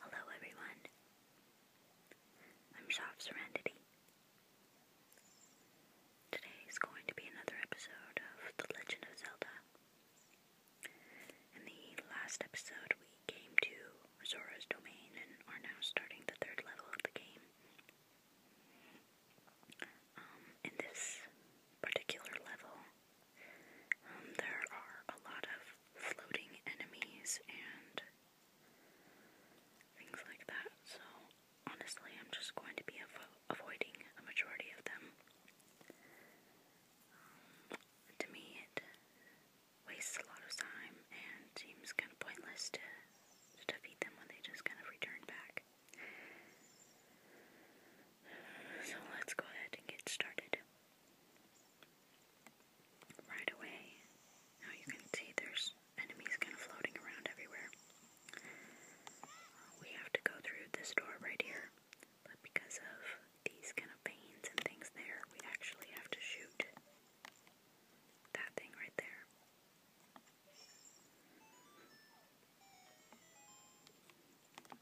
Hello everyone, I'm Shop Serenity. Today is going to be another episode of The Legend of Zelda. In the last episode, we came to Zora's domain and are now starting the third level of the game. Um, in this particular level, um, there are a lot of floating enemies and things like that. So, honestly, I'm just going to be avoiding a majority of them. Um, to me, it wastes a lot of time and seems kind of pointless to, to defeat them when they just kind of return back. So, let's go ahead and get started right away. Now you can see there's enemies kind of floating around everywhere. We have to go through this door right here, but because of these kind of veins and things there, we actually have to shoot that thing right there.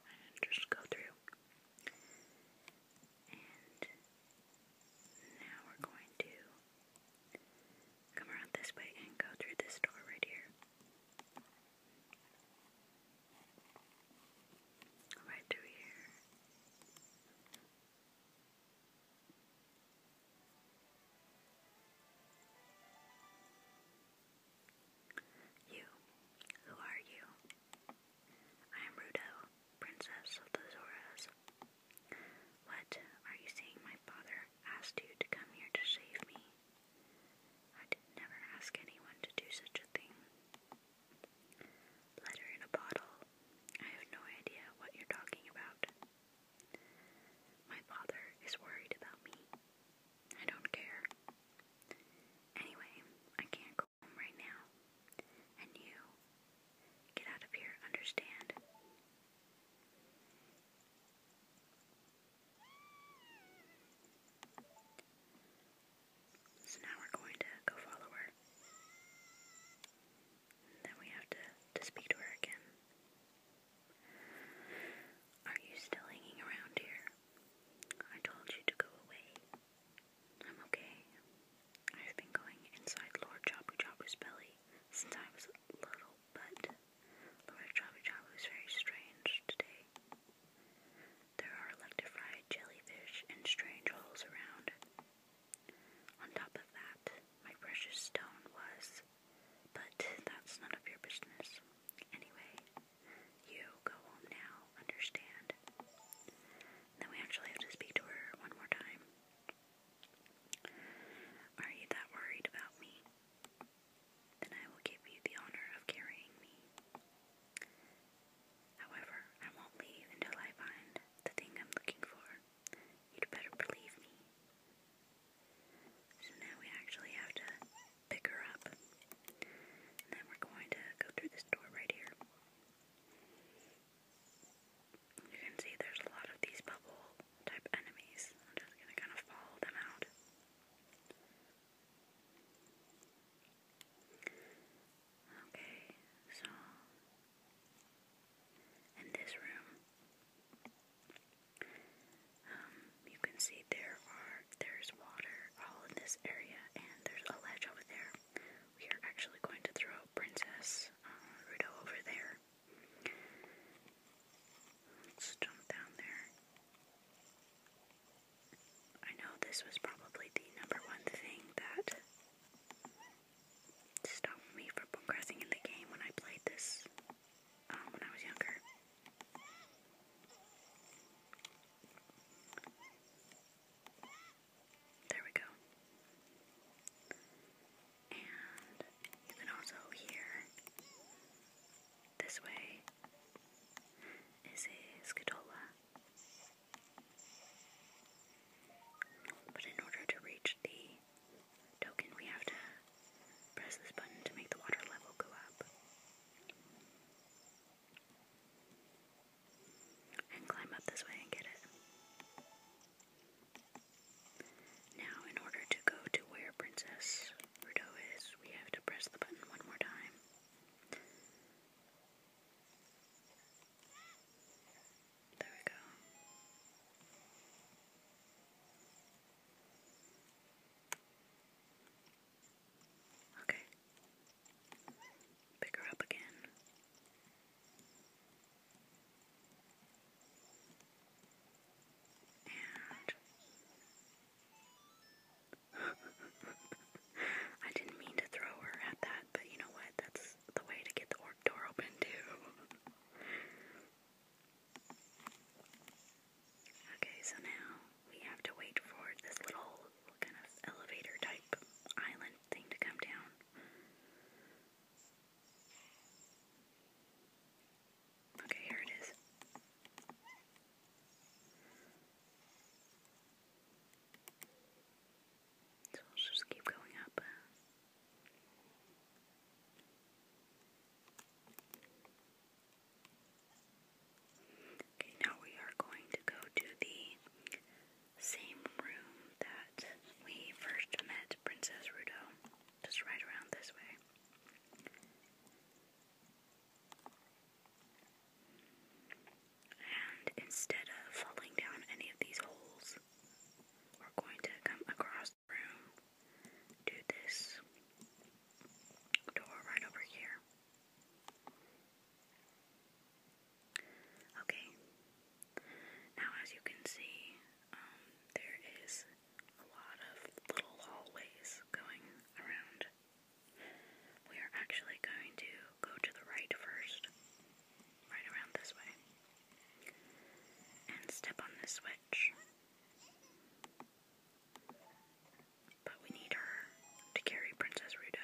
And just go through. And now we're going to come around this way and go through this door right here. Right through here. You, who are you? I am Rudo, princess of the Zoras. What are you saying? My father asked you to come here to save me. I did never ask anyone to do such a thing. Letter in a bottle. I have no idea what you're talking about. My father is worried about me. I don't care. Anyway, I can't go right now. And you get out of here, understand? So now we're going to go follow her. then we have to, to speak her again. Are you still hanging around here? I told you to go away. I'm okay. I've been going inside Lord Jabu Jabu's belly since I was little, but Lord Jabu Jabu is very strange today. There are electrified jellyfish and strange holes around. On top of that, my precious stone was, but that's none of your business. Anyway, you go home now, understand? then we actually have to speak to her one more time. Are you that worried about me? Then I will give you the honor of carrying me. However, I won't leave until I find the thing I'm looking for. You'd better believe me. So now we actually have to pick her up. then we're going to go through this door right here. You can see there's a lot of these bubble type enemies. I'm just gonna kind of follow them out. Okay, so in this room, um, you can see there are there's water all in this area, and there's a ledge over there. We are actually going to throw Princess uh, over there. jump down there. I know this was probably the number one thing that stopped me from progressing in the game when I played this um, when I was younger. There we go. And you can also hear this way is a scutola. But in order to reach the token, we have to press this button to make the water level go up and climb up this way and get it. Now, in order to go to where Princess Rudo is, we have to press the button one more time. There we go. Okay. Pick her up again. And. I didn't mean to throw her at that, but you know what? That's the way to get the orc door open, too. okay, so now we have to wait for this little kind of elevator type island thing to come down. Okay, here it is. So let's just keep going up. Okay, now we are going to go to the same room that we first met Princess Rudo, just right around this way. And instead of falling down any of these holes, we're going to come across the room to this door right over here. Okay, now as you can see, um, there is a lot of little hallways going around. We are actually going to go to the right first, right around this way, and step on this switch. But we need her to carry Princess Rudo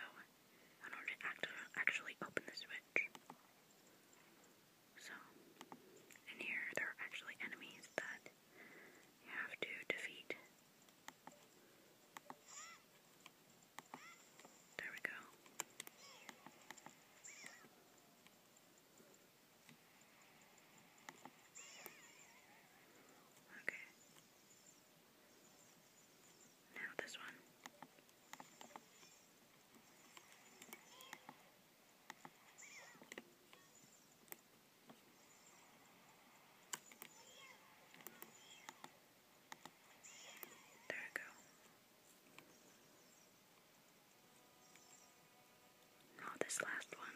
in order to actually open the switch. So, in here there are actually enemies that you have to defeat. There we go. Okay. Now this one. There we go. Now this last one.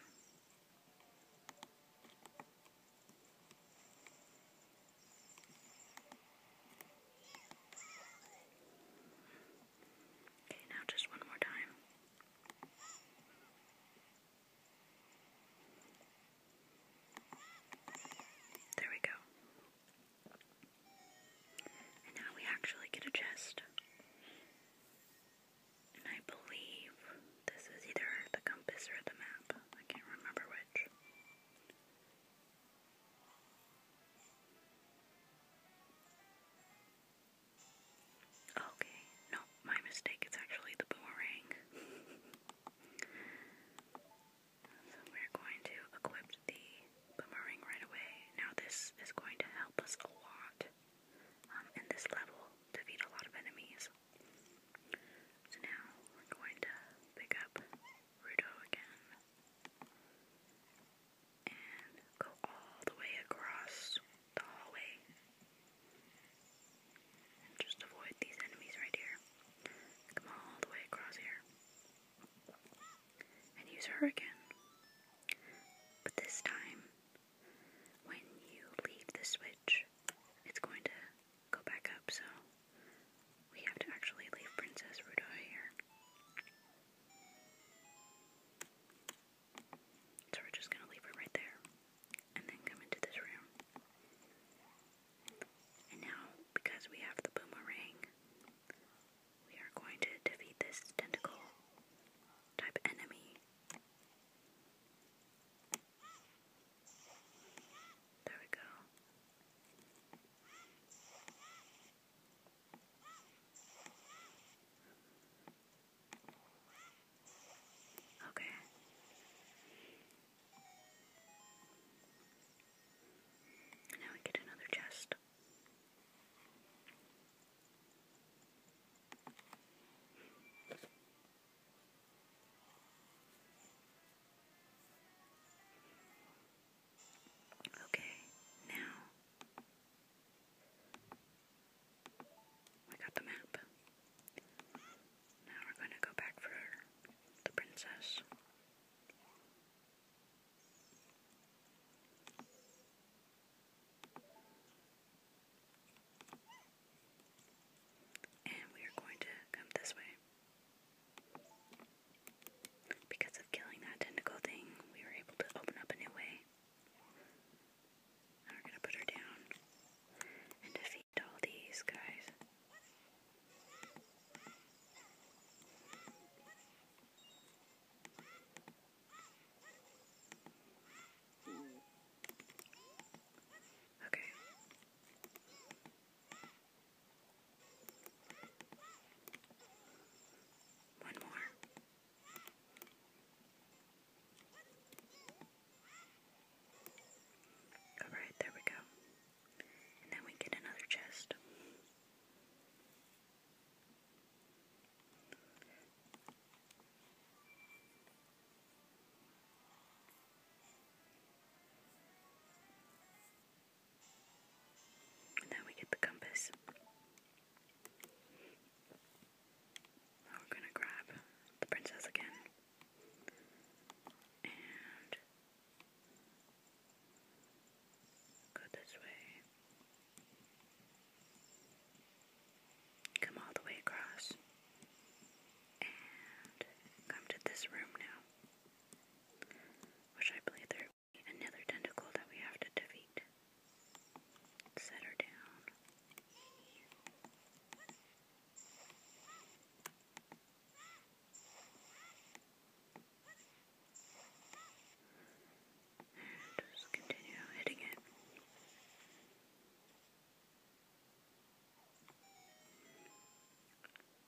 Okay, now just one more time. There we go. And now we actually get a chest. And I believe this is either the compass or the map. I can't remember which. Okay, no, my mistake. It's actually the boomerang. so we're going to equip the boomerang right away. Now, this is going to help us a lot um, in this level to beat a lot of enemies. So now we're going to pick up Rudo again and go all the way across the hallway and just avoid these enemies right here. Come all the way across here and use Hurricane. But this time, when you leave the switch, it's going to go back up, so we have to actually leave Princess Rudo here. So we're just gonna leave her right there and then come into this room. And now, because we have the boomerang, we are going to defeat this tentacle type enemy. There we go. Okay. Now we get another chest. Okay, now we got the map. Now we're going to go back for the princess. And we are going to come this way. Because of killing that tentacle thing, we were able to open up a new way. And we're gonna put her down and defeat all these guys. Okay. One more. Alright, there we go. And then we get another chest. Now we get the compass. we're gonna grab the princess again. And go this way. Come all the way across. And come to this room now, which I believe there another tentacle that we have to defeat. Set her down. And continue hitting it.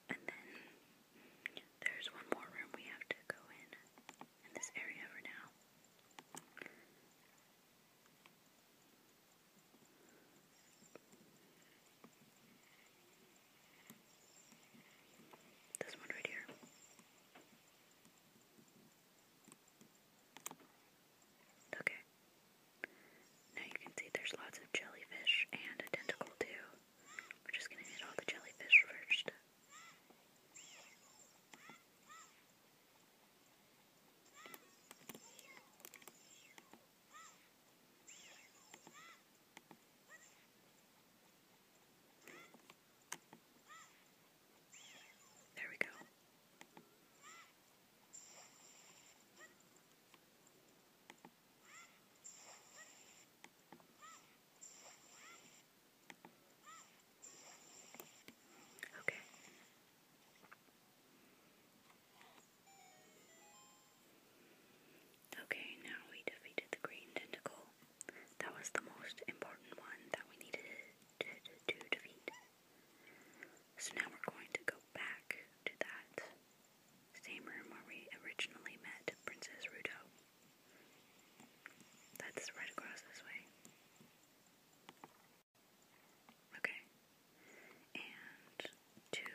And then there's one more room we have to go in in this area for now. This one right here. Okay. Now you can see there's lots of jellyfish and a tentacle too. We're just gonna hit all the jellyfish first. There we go. Okay. Okay, now we defeated the green tentacle. That was the most important one that we needed to, to defeat. So now we're going to go back to that same room where we originally met Princess Ruto. That's right across this way. Okay. And to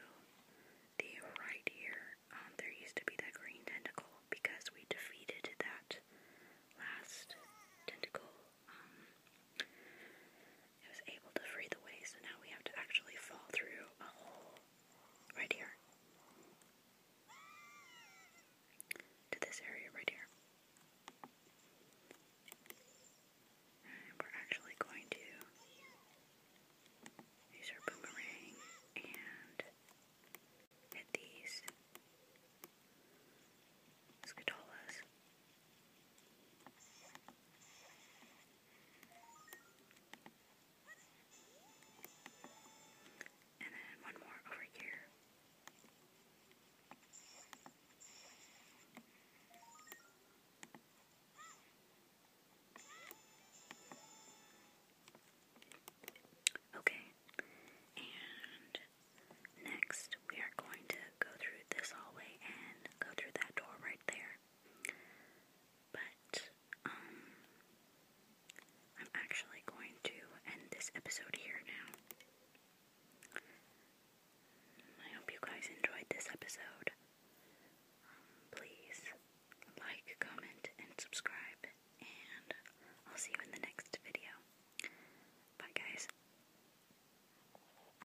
the right here, um, there used to be that green tentacle because we defeated that last tentacle um, I was able to free the way, so now we have to actually fall through a hole right here to this area right here. And we're actually going to use our boomerang and hit these scatolas. And then one more over here. Okay, and next we are going to go through this hallway and go through that door right there. But, um, I'm actually going to end this episode here now. I hope you guys enjoyed this episode. Um, please like, comment, and subscribe, and I'll see you in the next video. Bye, guys.